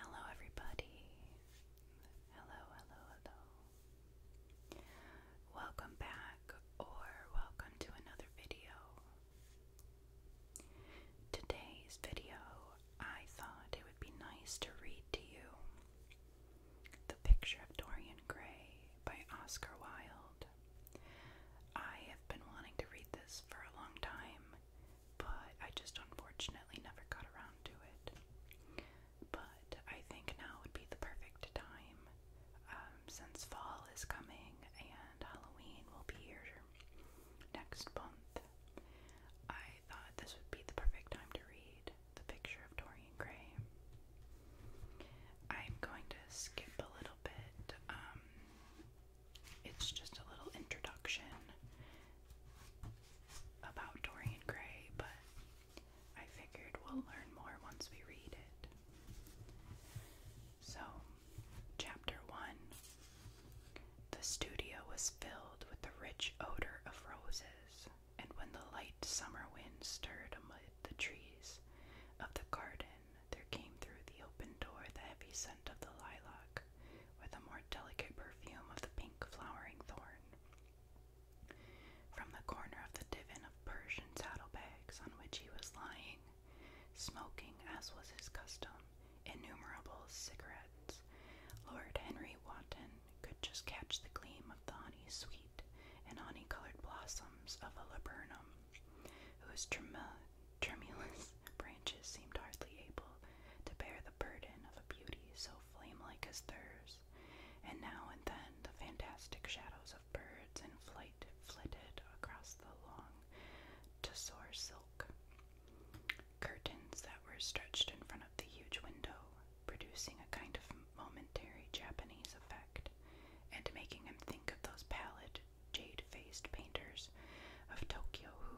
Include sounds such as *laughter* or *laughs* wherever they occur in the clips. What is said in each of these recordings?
Hello, everybody. Hello, hello, hello. Welcome back, or welcome to another video. Today's video, I thought it would be nice to read to you The Picture of Dorian Gray by Oscar Wilde. I have been wanting to read this for a long time, but I just unfortunately never got around to it. But I think now would be the perfect time um, since fall is coming and Halloween will be here next month. I thought this would be the perfect time to read The Picture of Dorian Gray. I'm going to skip a little bit um, it's just a little introduction about Dorian Gray, but I figured we'll learn more once we read it. So, Chapter 1 The studio was filled with the rich odor of roses, and when the light summer wind stirred amid the trees of the garden, there came through the open door the heavy scent of the lilac, with a more delicate perfume of the pink flowering thorn. From the corner of the divan of Persian saddlebags on which he was lying, smoking as was his custom, innumerable cigarettes, Lord Henry Wotton could just catch the gleam of the honey sweet and honey colored blossoms of a laburnum, whose trem Tremulous *laughs* branches seemed hardly able to bear the burden of a beauty so flame-like as theirs, and now and then the fantastic shadows of birds in flight flitted across the long tussore silk. Curtains that were stretched in front of the huge window, producing a kind of momentary Japanese effect, and making him think of those pallid, jade faced painters of Tokyo who,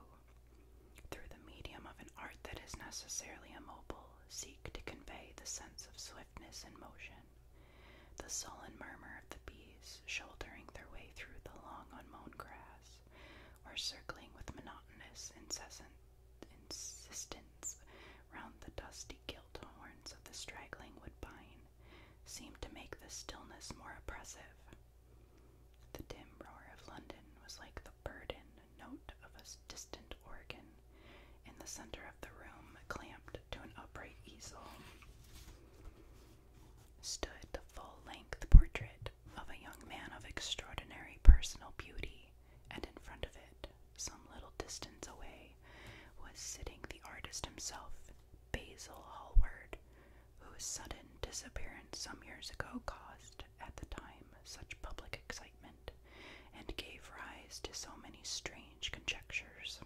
through the medium of an art that is necessarily immobile, seek to convey the sense of swiftness and motion. The sullen murmur of the bees shouldering their way through the long unmown grass, or circling with monotonous, incessant insistence round the dusty gilt horns of the straggling woodbine seemed to make the stillness more oppressive. The dim roar of London was like the burdened note of a distant organ in the center of the room, clamped to an upright easel. Stood the full length portrait of a young man of extraordinary personal beauty, and in front of it, some little distance away, was sitting the artist himself Basil Hallward, whose sudden disappearance some years ago caused, at the time, such public excitement and gave rise to so many strange conjectures.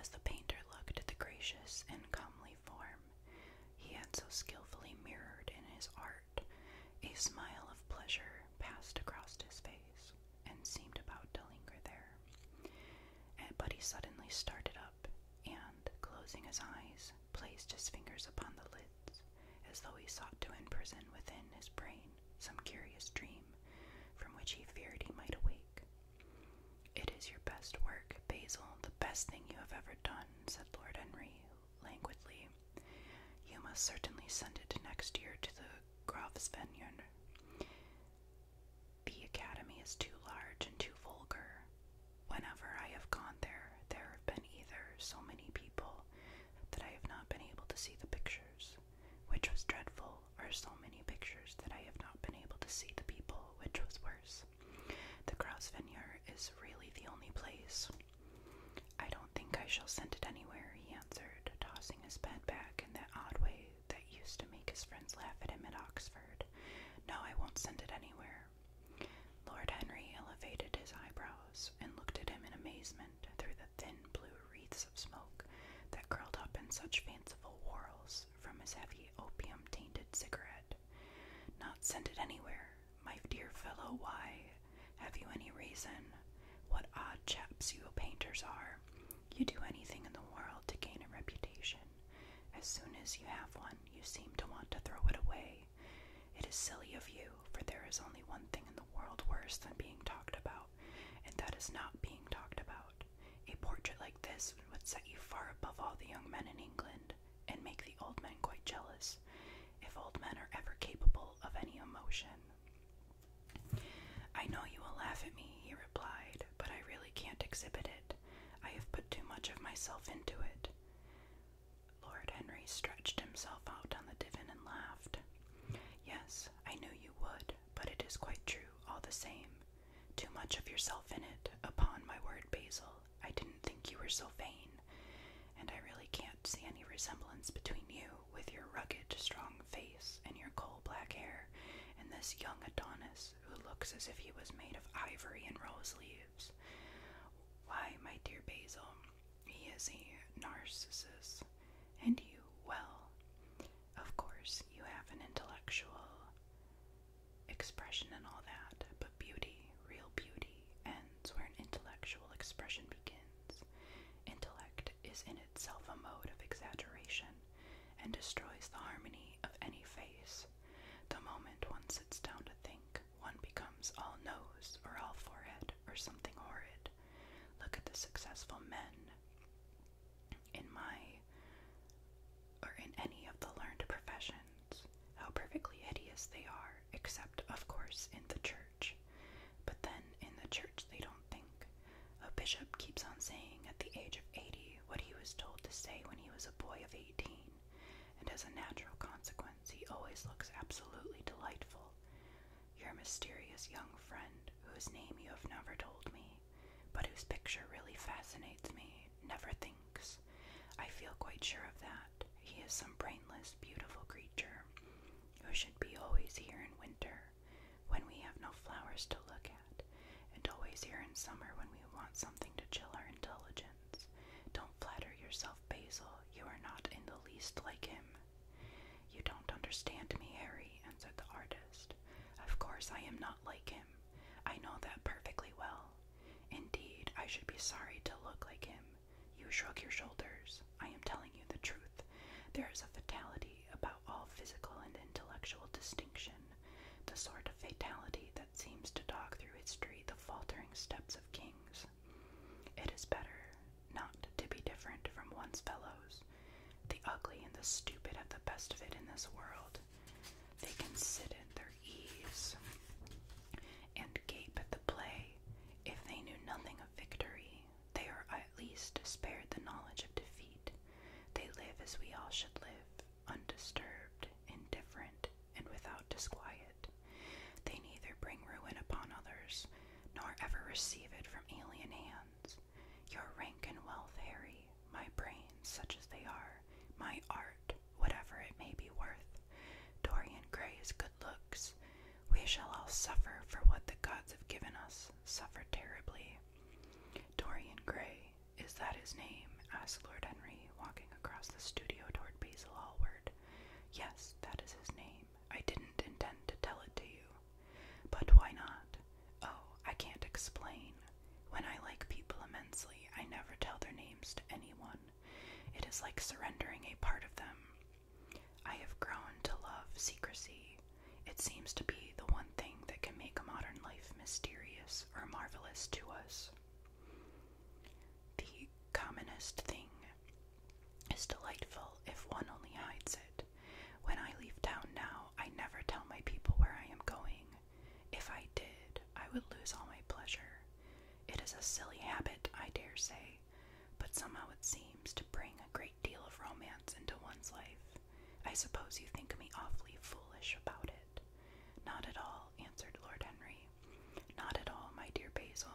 As the painter looked at the gracious and comely form he had so skillfully mirrored in his art, a smile of pleasure passed across his face and seemed about to linger there. Eh, but he suddenly started up and, closing his eyes, placed his fingers upon the lids, as though he sought to imprison within his brain some curious dream from which he feared he might awake. It is your best work, Basil, the best thing you have ever done, said Lord Henry languidly. You must certainly send it next year to the Graf's Vineyard. The academy is too large and too vulgar. Whenever I have gone there, there have been either so many people that I have not been able to see the pictures, which was dreadful, or so many pictures that I have not been able to see the people, which was worse. The Cross Vineyard is really the only place. I don't think I shall send it anywhere, he answered, tossing his pen back in that odd way that used to make his friends laugh at him at Oxford. No, I won't send it anywhere. Lord Henry elevated his eyebrows and looked at him in amazement through the thin blue wreaths of smoke that curled up in such fanciful whorls from his heavy opium tainted cigarette. Not send it anywhere, my dear fellow, why? Have you any reason? What odd chaps you painters are. You do anything in the world to gain a reputation. As soon as you have one, you seem to want to throw it away. It is silly of you, for there is only one thing in the world worse than being talked about, and that is not being talked about. A portrait like this would set you far above all the young men in England and make the old men quite jealous, if old men are ever capable of any emotion. I know you will laugh at me, he replied, but I really can't exhibit it. I have put too much of myself into it. Lord Henry stretched himself out on the divan and laughed. Yes, I knew you would, but it is quite true, all the same. Too much of yourself in it, upon my word, Basil. I didn't think you were so vain, and I really can't see any resemblance between you with your rugged, strong face and your coal black hair, and this young Adonis who looks as if he was made of ivory and rose leaves. Why, my dear Basil, he is a narcissus, and you, well, of course, you have an intellectual expression and all that, but beauty, real beauty, ends where an intellectual expression begins. Intellect is in itself a mode of exaggeration, and destroys the harmony of any face. The moment one sits down to think, one becomes all nose or all forehead or something horrid. Look at the successful men in my or in any of the learned professions, how perfectly hideous they are, except, of course, in the church. But then in the church, they don't think. A bishop keeps on saying at the age of 80 what he was told to say when he was a boy of 18, and as a natural consequence, he always looks absolutely delightful. Your mysterious young friend, whose name you have never told me, but whose picture really fascinates me, never thinks. I feel quite sure of that. He is some brainless, beautiful creature who should be always here in winter, when we have no flowers to look at, and always here in summer when we want something to chill our intelligence. Don't flatter yourself, Basil. You are not in the least like him. You don't understand me, Harry, answered the artist. Of course, I am not like him. I know that perfectly well. Indeed, I should be sorry to look like him. You shrug your shoulders. I am telling you the truth. There is a fatality about all physical and intellectual distinction, the sort of fatality that seems to dog through history the faltering steps of kings. It is better not to be different from one's fellows. The ugly and the stupid have the best of it in this world. They can sit at their ease and gape at the play. If they knew nothing of victory, they are at least spared the knowledge of defeat. They live as we all should live, undisturbed, indifferent, and without disquiet. They neither bring ruin upon others, nor ever receive it from alien hands. Your rank and wealth, Harry, my brains, such as they are, my art, whatever it may be worth, Dorian Gray's good looks, we shall all suffer for what the gods have given us, suffer terribly, Dorian Gray, is that his name? asked Lord Henry, walking across the studio toward Basil Hallward. Yes, that is his name. I didn't intend to tell it to you. But why not? Oh, I can't explain. When I like people immensely, I never tell their names to anyone. It is like surrendering a part of them. I have grown to love secrecy. It seems to be the one thing that can make modern life mysterious or marvelous to us. The commonest thing is delightful if one only hides it. When I leave town now, I never tell my people where I am going. If I did, I would lose all my pleasure. It is a silly habit, I dare say, but somehow it seems to bring a great deal of romance into one's life. I suppose you think me awfully foolish about it. Not at all, answered Lord Henry. Not at all, my dear Basil.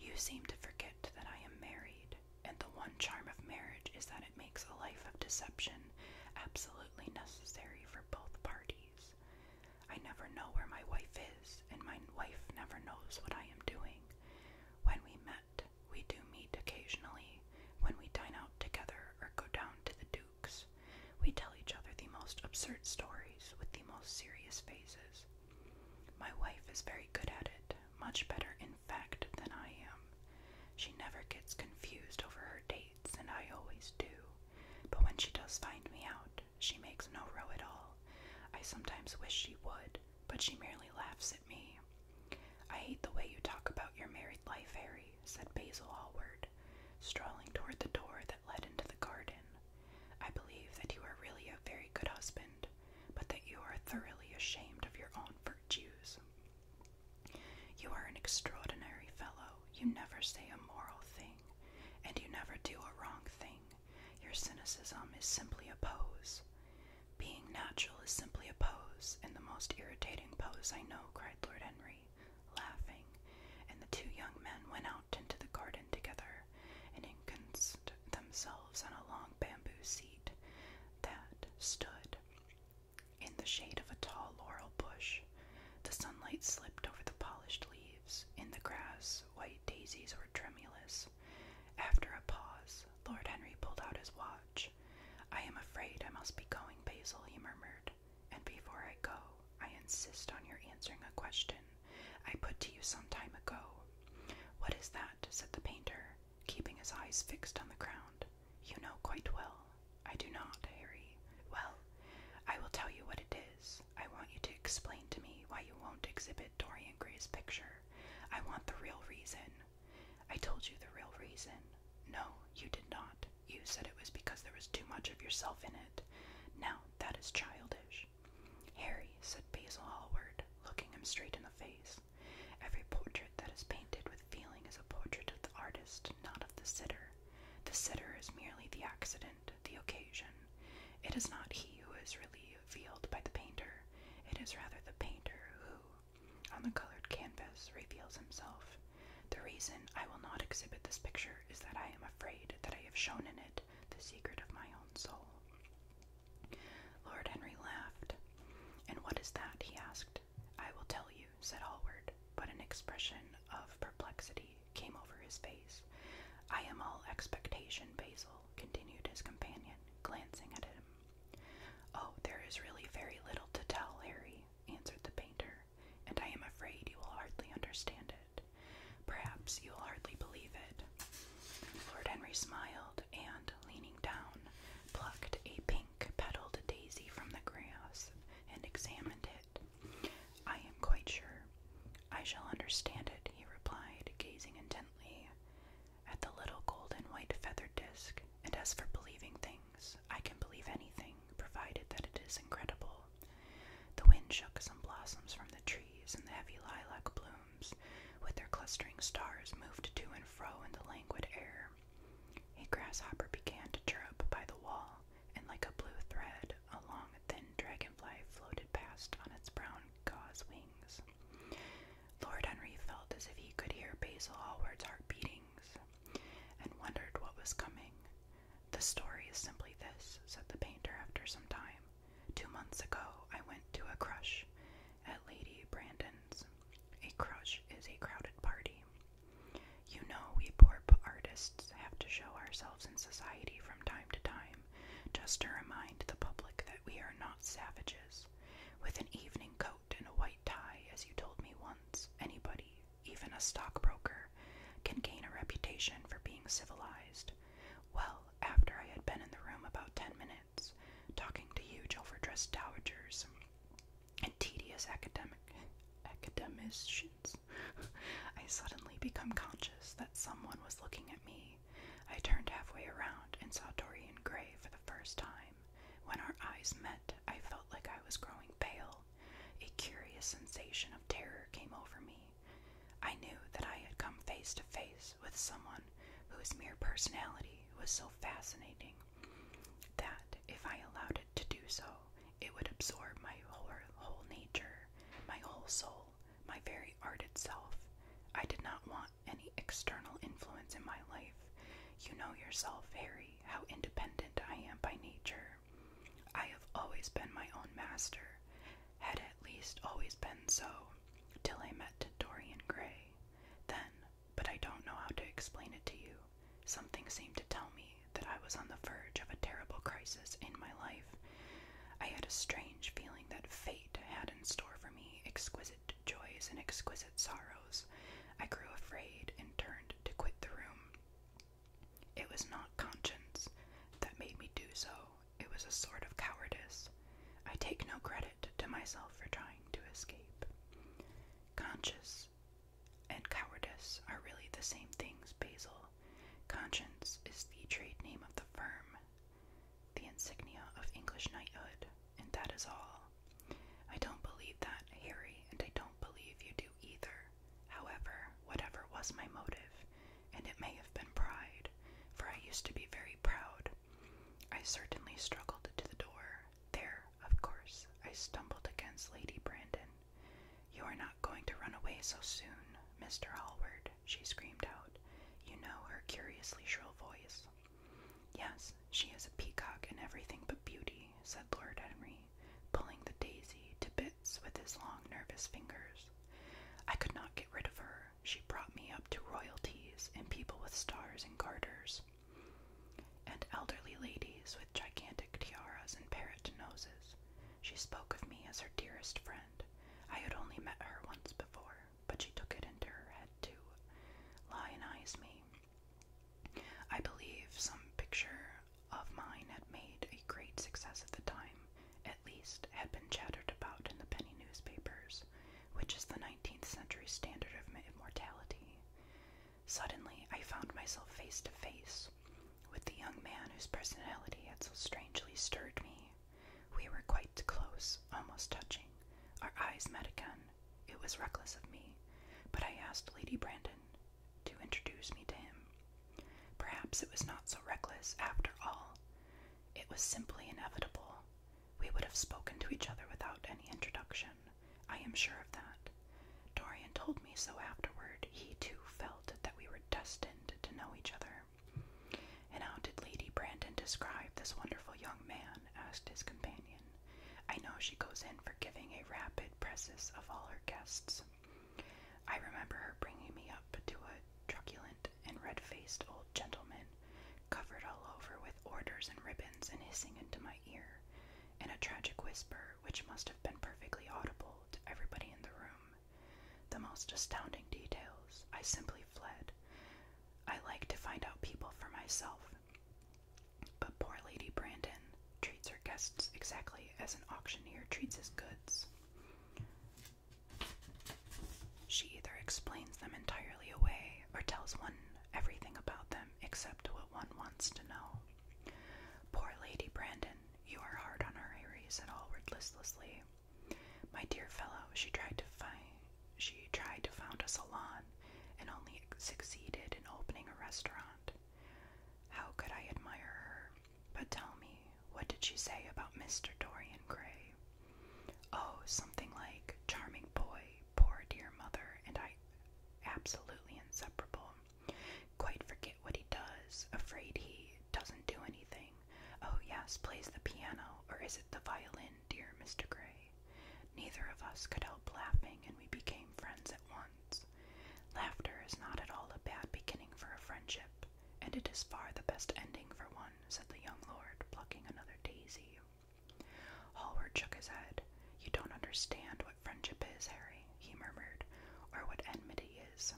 You seem to forget that I am married, and the one charm of marriage is that it makes a life of deception absolutely necessary for both parties. I never know where my wife is, and my wife never knows what I am doing. When we met, we do meet occasionally when we dine out together or go down to the Duke's. We tell each other the most absurd stories with the most serious faces. My wife is very good at it, much better, in fact, than I am. She never gets confused over her dates, and I always do. But when she does find me out, she makes no row at all. I sometimes wish she would, but she merely laughs at me I hate the way you talk about your married life, Harry, said Basil Hallward, strolling toward the door that led into the garden. I believe that you are really a very good husband, but that you are thoroughly ashamed of your own virtues. You are an extraordinary fellow. You never say a moral thing, and you never do a wrong thing. Your cynicism is simply a pose. Being natural is simply a pose, and the most irritating pose I know, cried Lord Henry, laughing, and the two young men went out into the garden together and enconced themselves on a long bamboo seat that stood in the shade of a tall laurel bush. The sunlight slipped over the polished leaves. In the grass, white daisies were tremulous. After a pause, Lord Henry pulled out his watch. I am afraid I must be going, Basil, he murmured. And before I go, I insist on your answering a question I put to you some time ago. What is that? said the painter, keeping his eyes fixed on the ground. You know quite well. I do not, Harry. Well, I will tell you what it is. I want you to explain to me why you won't exhibit Dorian Gray's picture. I want the real reason. I told you the real reason. No, you did not. You said it was because there was too much of yourself in it. Now, that is childish. Harry, said Basil Hallward, looking him straight in the face, every portrait that is painted with feeling is a portrait of the artist, not of the sitter. The sitter is merely the accident, the occasion. It is not he who is really revealed by the painter, it is rather the painter who, on the colored canvas reveals himself. The reason I will not exhibit this picture is that I am afraid that I have shown in it the secret of my own soul. Lord Henry laughed. And what is that? he asked. I will tell you, said Hallward, but an expression of perplexity came over his face. I am all expectation, Basil, continued his companion, glancing at him Oh, there is really very little to tell, Harry, answered the painter, and I am afraid you will hardly understand it. Perhaps you will hardly believe it. Lord Henry smiled and, leaning down, plucked a pink petaled daisy from the grass and examined it. I am quite sure. I shall understand it, he replied, gazing intently at the little gold and white feathered disc, and as for believing things, I can believe anything, provided that it is incredible. The wind shook some blossoms from the trees, and the heavy lilac blooms, with their clustering stars, moved to and fro in the languid air. A grasshopper began to chirrup by the wall, and like a blue thread, a long, thin dragonfly floated past on its brown gauze wings. Lord Henry felt as if he could hear Basil Hallward's heart beatings and wondered what was coming. The story is simply this, said the painter after some time. "Two months ago, I went to a crush at Lady Brandon's. A crush is a crowded party. You know, we poor artists have to show ourselves in society from time to time just to remind the public that we are not savages with an evening coat and a white tie, as you told me once, anybody, even a stockbroker, can gain a reputation for being civilized. Well, after I had been in the room about ten minutes, talking to huge overdressed dowagers and tedious academic academicians, *laughs* I suddenly became conscious that someone was looking at me. I turned halfway around and saw Dorian Gray for the first time. When our eyes met, I felt like I was growing pale. A curious sensation of terror came over me. I knew that I had come face to face with someone whose mere personality was so fascinating that if I allowed it to do so, it would absorb my whole nature, my whole soul, my very art itself. I did not want any external influence in my life. You know yourself, Harry, how independent I am by nature. I have always been my own master, had at least always been so, till I met Dorian Gray. Then, but I don't know how to explain it to you, something seemed to tell me that I was on the verge of a terrible crisis in my life. I had a strange feeling that fate had in store for me exquisite joys and exquisite sorrows, I grew afraid and turned to quit the room. It was not conscience that made me do so, it was a sort of cowardice. I take no credit to myself for trying to escape. Conscience and cowardice are really the same things, Basil. Conscience is the trade name of the firm, the insignia of English knighthood and that is all. I don't believe that, Harry, and I don't believe you do either. However, whatever was my motive, and it may have been pride, for I used to be very proud, I certainly struggled to the door. There, of course, I stumbled against Lady Brandon. You are not going to run away so soon, Mr. Hallward, she screamed out, you know her curiously shrill voice. Yes, she is a peacock in everything but beauty, said Lord Henry, pulling the daisy to bits with his long, nervous fingers. I could not get rid of her. She brought me up to royalties and people with stars and garters, and elderly ladies with gigantic tiaras and parrot noses. She spoke of me as her dearest friend. I had only met her once before, but she took it into her head to lionize me I believe some picture of mine had made a great success at the time, at least had been chattered about in the penny newspapers, which is the 19th century standard of immortality. Suddenly, I found myself face to face with the young man whose personality had so strangely stirred me. We were quite close, almost touching. Our eyes met again, it was reckless of me, but I asked Lady Brandon to introduce me to him. Perhaps it was not so reckless after all. It was simply inevitable. We would have spoken to each other without any introduction. I am sure of that. Dorian told me so afterward. He too felt that we were destined to know each other. And how did Lady Brandon describe this wonderful young man? asked his companion. I know she goes in for giving a rapid presses of all her guests. I remember her bringing me up to a truculent and red-faced old gentleman, covered all over with orders and ribbons and hissing into my ear, in a tragic whisper which must have been perfectly audible to everybody in the room. The most astounding details. I simply fled. I like to find out people for myself. But poor Lady Brandon treats her guests exactly as an auctioneer treats his goods. She either explains them entirely away or tells one everything about them except what one wants to know. Poor Lady Brandon, you are hard on her, Harry, said Hallward listlessly. My dear fellow, she tried to find she tried to found a salon and only succeeded in opening a restaurant. How could I admire her? But tell me, what did she say about Mr. Dorian Gray? Oh, something like, charming boy, poor dear mother, and I absolutely inseparable. Quite forget what he does, afraid he doesn't do anything. Oh, yes, plays the piano, or is it the violin, dear Mr. Gray? Neither of us could help laughing, and we became friends at once. Laughter is not at all a bad beginning for a friendship, and it is far the best ending for one, said the young lord, plucking another daisy. Hallward shook his head. You don't understand what friendship is, Harry, he murmured, or what enmity is.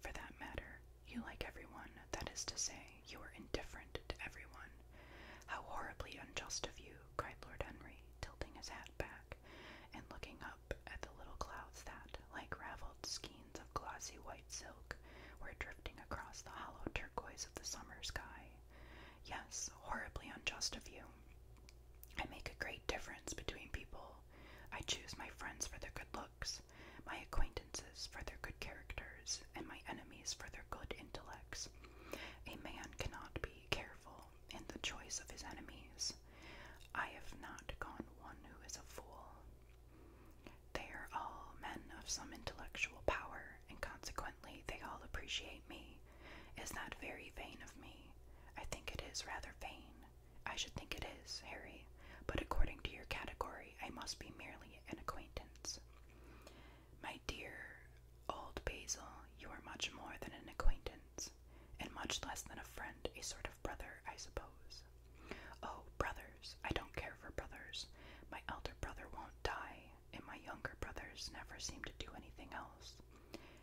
For that matter, you like everyone, that is to say, you are indifferent to everyone. How horribly unjust of you, cried Lord Henry, tilting his hat back and looking up at the little clouds that, like raveled skeins of glossy white silk, were drifting across the hollow turquoise of the summer sky. Yes, horribly unjust of you. I make a great difference between people. I choose my friends for their good looks, my acquaintances for their good characters, and my enemies for their good intellects. A man cannot be careful in the choice of his enemies. I have not gone one who is a fool. They are all men of some intellectual power, and consequently they all appreciate me. Is that very vain of me? I think it is rather vain. I should think it is, Harry, but according to your category, I must be merely an acquaintance. My dear old Basil, you are much more than an acquaintance, and much less than a friend, a sort of brother, I suppose. Oh, brothers, I don't care for brothers. My elder brother won't die, and my younger brothers never seem to do anything else.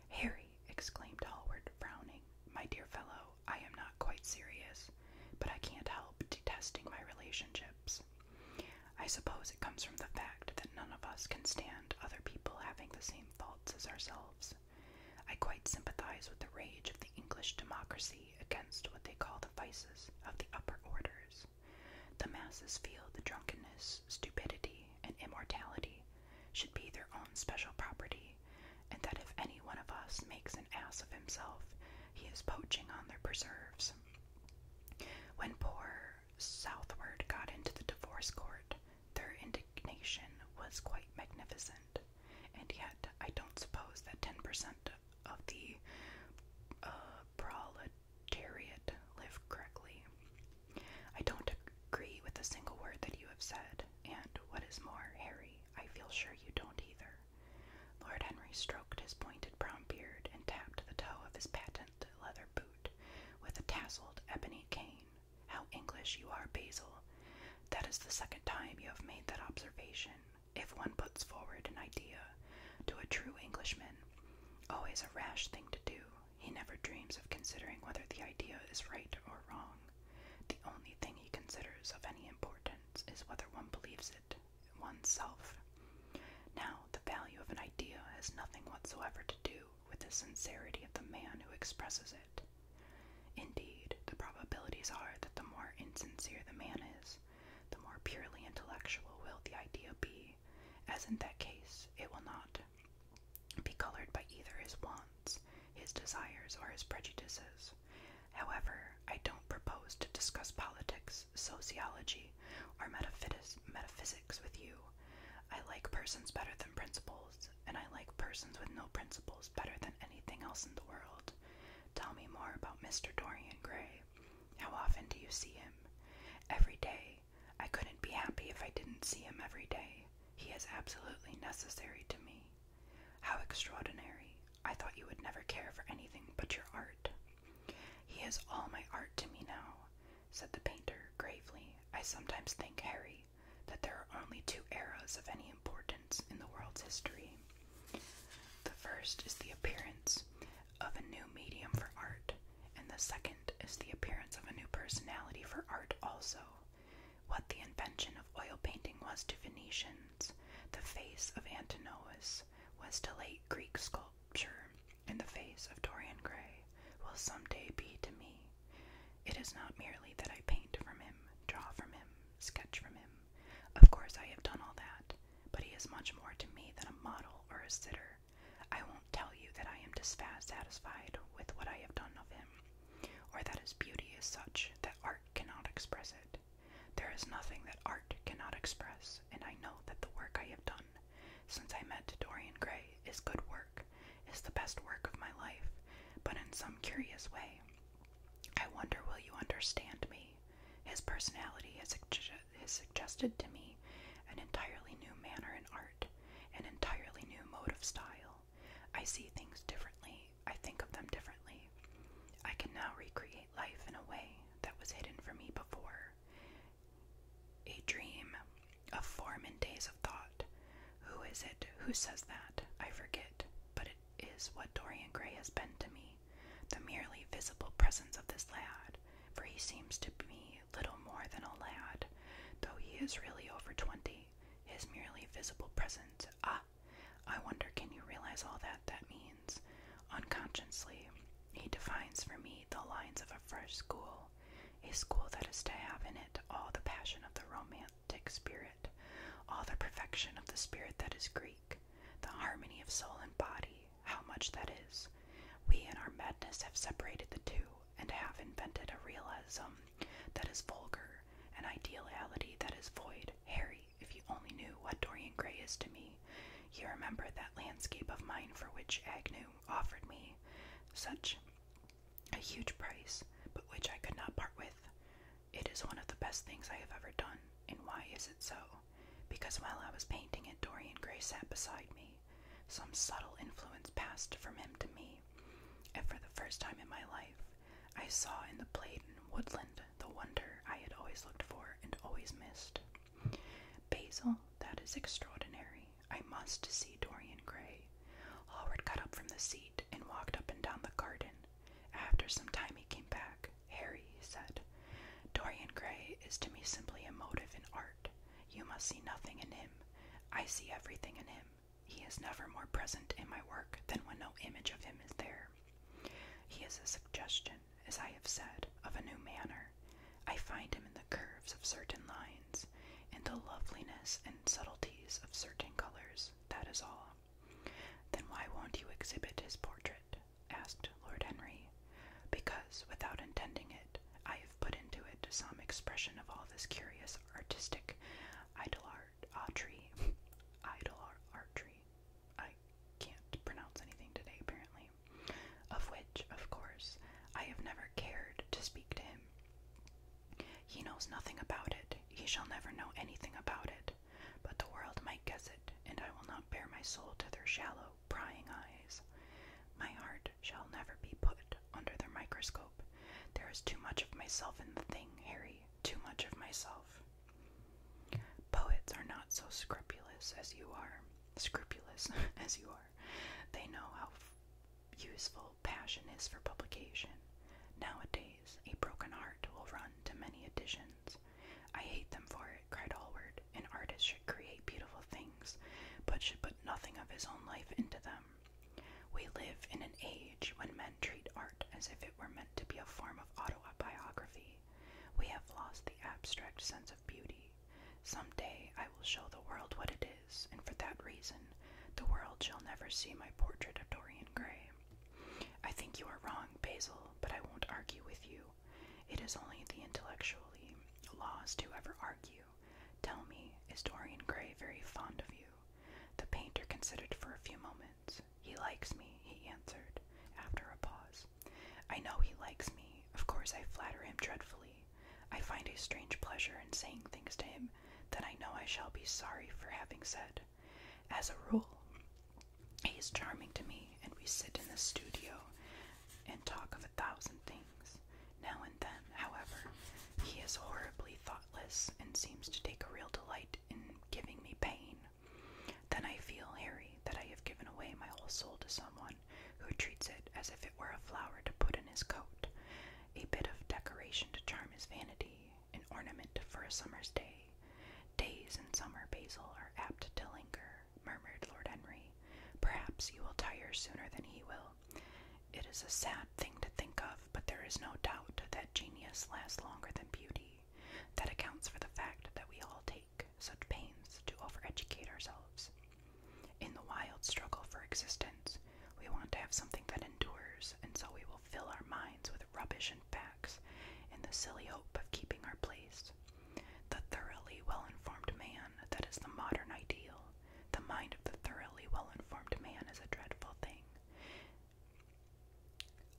Harry, exclaimed Hallward, frowning, my dear fellow, I am not quite serious, but I can't help detesting my relationships. I suppose it comes from the fact that none of us can stand other people having the same faults as ourselves. I quite sympathize with the rage of the English democracy against what they call the vices of the upper orders. The masses feel the drunkenness, stupidity, and immorality should be their own special property, and that if any one of us makes an ass of himself, he is poaching on their preserves. When poor Southward got into the divorce court, their indignation was quite magnificent. And yet, I don't suppose that 10% of the uh, proletariat live correctly. I don't agree with a single word that you have said, and what is more, Harry, I feel sure you don't either. Lord Henry stroked his pointed brown beard and tapped the toe of his patent leather boot with a tasseled ebony cane. How English you are, Basil. That is the second time you have made that observation. If one puts forward an idea to a true Englishman, always a rash thing to do, he never dreams of considering whether the idea is right or wrong. The only thing he considers of any importance is whether one believes it. One's self. Now, the value of an idea has nothing whatsoever to do with the sincerity of the man who expresses it. Indeed, the probabilities are that the more insincere the man is, the more purely intellectual will the idea be, as in that case it will not be colored by either his wants, his desires, or his prejudices. However, I don't propose to discuss politics, sociology, philosophy or metaphysics with you. I like persons better than principles, and I like persons with no principles better than anything else in the world. Tell me more about Mr. Dorian Gray. How often do you see him? Every day. I couldn't be happy if I didn't see him every day. He is absolutely necessary to me. How extraordinary. I thought you would never care for anything but your art. He is all my art to me now, said the painter gravely. I sometimes think, Harry, that there are only two eras of any importance in the world's history. The first is the appearance of a new medium for art, and the second is the appearance of a new personality for art also. What the invention of oil painting was to Venetians, the face of Antinous was to late Greek sculpture, in the face of Dorian Gray will someday be to me. It is not merely that I paint from him, draw from him, sketch from him. Of course, I have done all that, but he is much more to me than a model or a sitter. I won't tell you that I am dissatisfied with what I have done of him, or that his beauty is such that art cannot express it. There is nothing that art cannot express, and I know that the work I have done since I met Dorian Gray is good work, is the best work of my life, but in some curious way. I wonder will you understand me? His personality has, suggested to me an entirely new manner in art, an entirely new mode of style. I see things differently, I think of them differently. I can now recreate life in a way that was hidden from me before. A dream a form in days of thought. Who is it? Who says that? I forget, but it is what Dorian Gray has been to me the merely visible presence of this lad, for he seems to me little more than a lad, though he is really over twenty. His merely visible presence. Ah, I wonder can you realize all that that means? Unconsciously, he defines for me the lines of a fresh school, a school that is to have in it all the passion of the romantic spirit, all the perfection of the spirit that is Greek, the harmony of soul and body, how much that is. We in our madness have separated the two and have invented a realism that is vulgar, an ideality that is void. Harry, if you only knew what Dorian Gray is to me, you remember that landscape of mine for which Agnew offered me such a huge price, but which I could not part with. It is one of the best things I have ever done, and why is it so? Because while I was painting it, Dorian Gray sat beside me. Some subtle influence passed from him to me, and for the first time in my life, I saw in the Playden woodland the wonder I had always looked for and always missed. Basil, that is extraordinary. I must see Dorian Gray. Hallward got up from the seat and walked up and down the garden. After some time, he came back. Harry, said, Dorian Gray is to me simply a motive in art. You must see nothing in him. I see everything in him. He is never more present in my work than when no image of him is there. He is a suggestion, as I have said, of a new manner, I find him in the curves of certain lines, in the loveliness and subtleties of certain colors, that is all. Then why won't you exhibit his portrait? asked Lord Henry. Because, without intending it, I have put into it some expression of all this curious artistic art, *laughs* art, Idolatry. I can't pronounce anything today, apparently of which, of course, I have never cared to speak to him. He knows nothing about it, he shall never know anything about it, but the world might guess it, and I will not bare my soul to their shallow, prying eyes. My heart shall never be put under their microscope. There is too much of myself in the thing, Harry, too much of myself. Poets are not so scrupulous as you are scrupulous *laughs* as you are, they know how useful passion is for publication. Nowadays, a broken heart will run to many editions. I hate them for it, cried Hallward. An artist should create beautiful things, but should put nothing of his own life into them. We live in an age when men treat art as if it were meant to be a form of biography. We have lost the abstract sense of beauty. Some day I will show the world what it is, and for that reason, the world shall never see my portrait of Dorian Gray. I think you are wrong, Basil, but I won't argue with you. It is only the intellectually lost who ever argue. Tell me, is Dorian Gray very fond of you? The painter considered for a few moments. He likes me, he answered, after a pause. I know he likes me. Of course, I flatter him dreadfully. I find a strange pleasure in saying things to him that I know I shall be sorry for having said. As a rule, he is charming to me, and we sit in the studio and talk of a thousand things. Now and then, however, he is horribly thoughtless and seems to take a real delight in giving me pain. Then I feel, Harry, that I have given away my whole soul to someone who treats it as if it were a flower to put in his coat, a bit of decoration to charm his vanity, an ornament for a summer's day. Days in summer, Basil, are apt to linger, murmured Lord Henry. Perhaps you will tire sooner than he will. It is a sad thing to think of, but there is no doubt that genius lasts longer than beauty. That accounts for the fact that we all take such pains to overeducate ourselves. In the wild struggle for existence, we want to have something that endures, and so we will fill our minds with rubbish and facts in the silly hope of keeping our place. The thoroughly well informed man, that is the modern ideal. The mind of the thoroughly well informed man is a dreadful thing.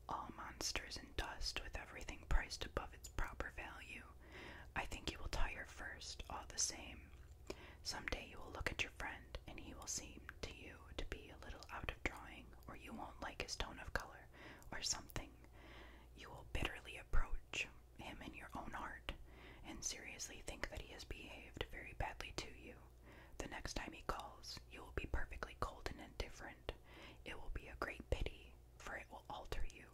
All monsters in dust, with everything priced above its proper value, I think you will tire first, all the same. Some day you will look at your friend, and he will seem to you to be a little out of drawing, or you won't like his tone of color, or something. You will bitterly approach him in your own heart, and seriously think that he has behaved very badly to you. The next time he calls, you will be perfectly cold and indifferent. It will be a great pity, for it will alter you.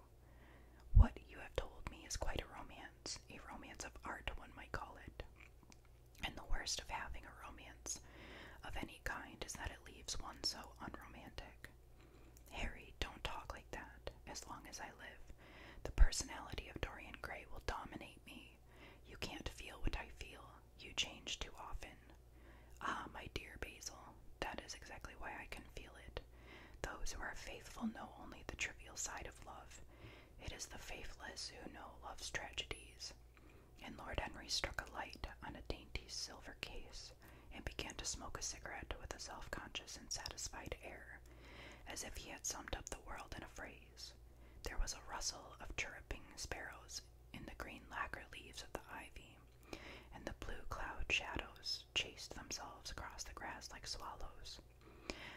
What you have told me is quite a romance, a romance of art, one might call it. And the worst of having a romance of any kind is that it leaves one so unromantic. Harry, don't talk like that. As long as I live, the personality of Dorian Gray will dominate me. You can't feel what I feel. You change too often. Ah, my dear Basil, that is exactly why I can feel it. Those who are faithful know only the trivial side of love. It is the faithless who know love's tragedies. And Lord Henry struck a light on a dainty silver case and began to smoke a cigarette with a self conscious and satisfied air, as if he had summed up the world in a phrase. There was a rustle of chirruping sparrows in the green lacquer leaves of the ivy, and the blue cloud shadows chased themselves across the grass like swallows.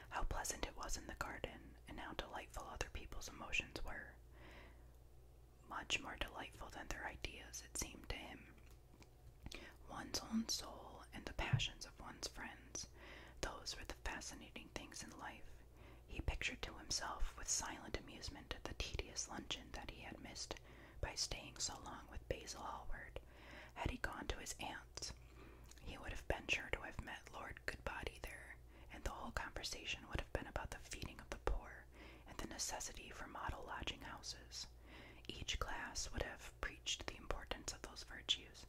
How pleasant it was in the garden, and how delightful other people's emotions were. Much more delightful than their ideas, it seemed to him. One's own soul and the passions of one's friends, those were the fascinating things in life. He pictured to himself with silent amusement the tedious luncheon that he had missed by staying so long with Basil Hallward. Had he gone to his aunt's, he would have been sure to have met Lord Goodbody there, and the whole conversation would have been about the feeding of the poor and the necessity for model lodging houses. Each class would have preached the importance of those virtues,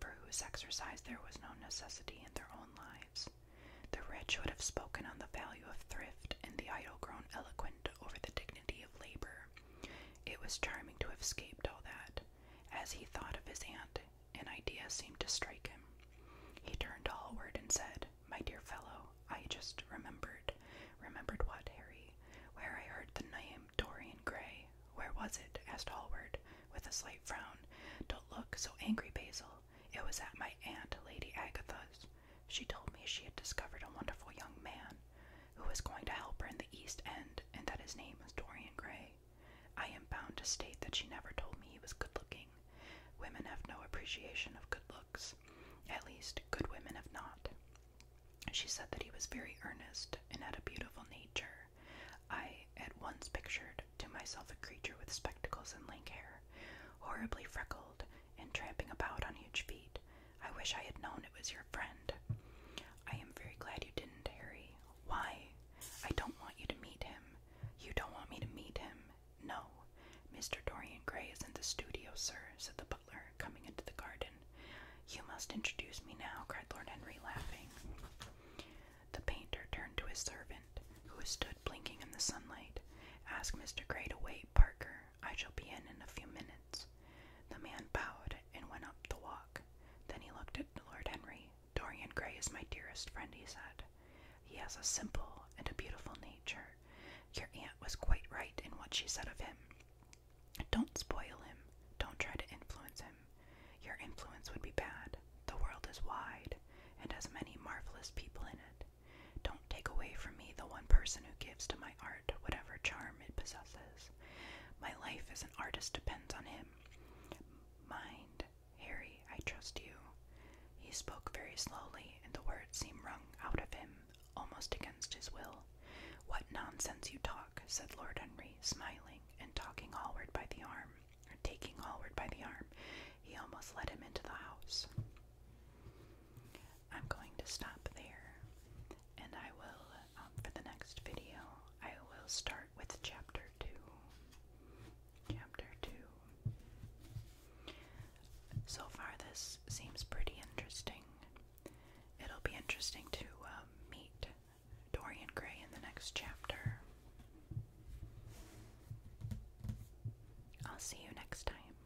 for whose exercise there was no necessity in their own lives. The rich would have spoken on the value of thrift, and the idle grown eloquent over the dignity of labor. It was charming to have escaped all that. As he thought of his aunt, an idea seemed to strike him. He turned to Hallward and said, My dear fellow, I just remembered. Remembered what, Harry? Where I heard the name Dorian Gray. Where was it? asked Hallward, with a slight frown. Don't look so angry, Basil. It was at my aunt, Lady Agatha's. She told me she had discovered a wonderful young man who was going to help her in the East End and that his name was Dorian Gray. I am bound to state that she never told me he was good looking. Women have no appreciation of good looks. At least, good women have not. She said that he was very earnest and had a beautiful nature. I at once pictured to myself a creature with spectacles and lank hair, horribly freckled, and tramping about on huge feet. I wish I had known it was your friend. I am very glad you didn't, Harry. Why? I don't want you to meet him. You don't want me to meet him. No. Mr. Dorian Gray is in the studio, sir, said the butler, coming into the garden. You must introduce me now, cried Lord Henry, laughing. The painter turned to his servant, who stood blinking in the sunlight. Ask Mr. Gray to wait, Parker. I shall be in in a few minutes. The man bowed and went up the walk. Then he looked at Lord Henry. Dorian Gray is my dearest friend, he said. He has a simple and a beautiful nature. Your aunt was quite right in what she said of him. Don't spoil him. Don't try to influence him. Your influence would be bad. The world is wide and has many marvelous people in it. Don't take away from me the one person who gives to my art whatever charm it possesses. My life as an artist depends on him. Mind, Harry, I trust you. He spoke very slowly, and the words seemed wrung out of him, almost against his will. What nonsense you talk, said Lord Henry, smiling and talking Hallward by the arm, taking Hallward by the arm. He almost led him into the house. I'm going to stop there and I will, um, for the next video, I will start with chapter 2. Chapter 2. So far, this seems pretty interesting. It'll be interesting to um, meet Dorian Gray in the next chapter. I'll see you next time.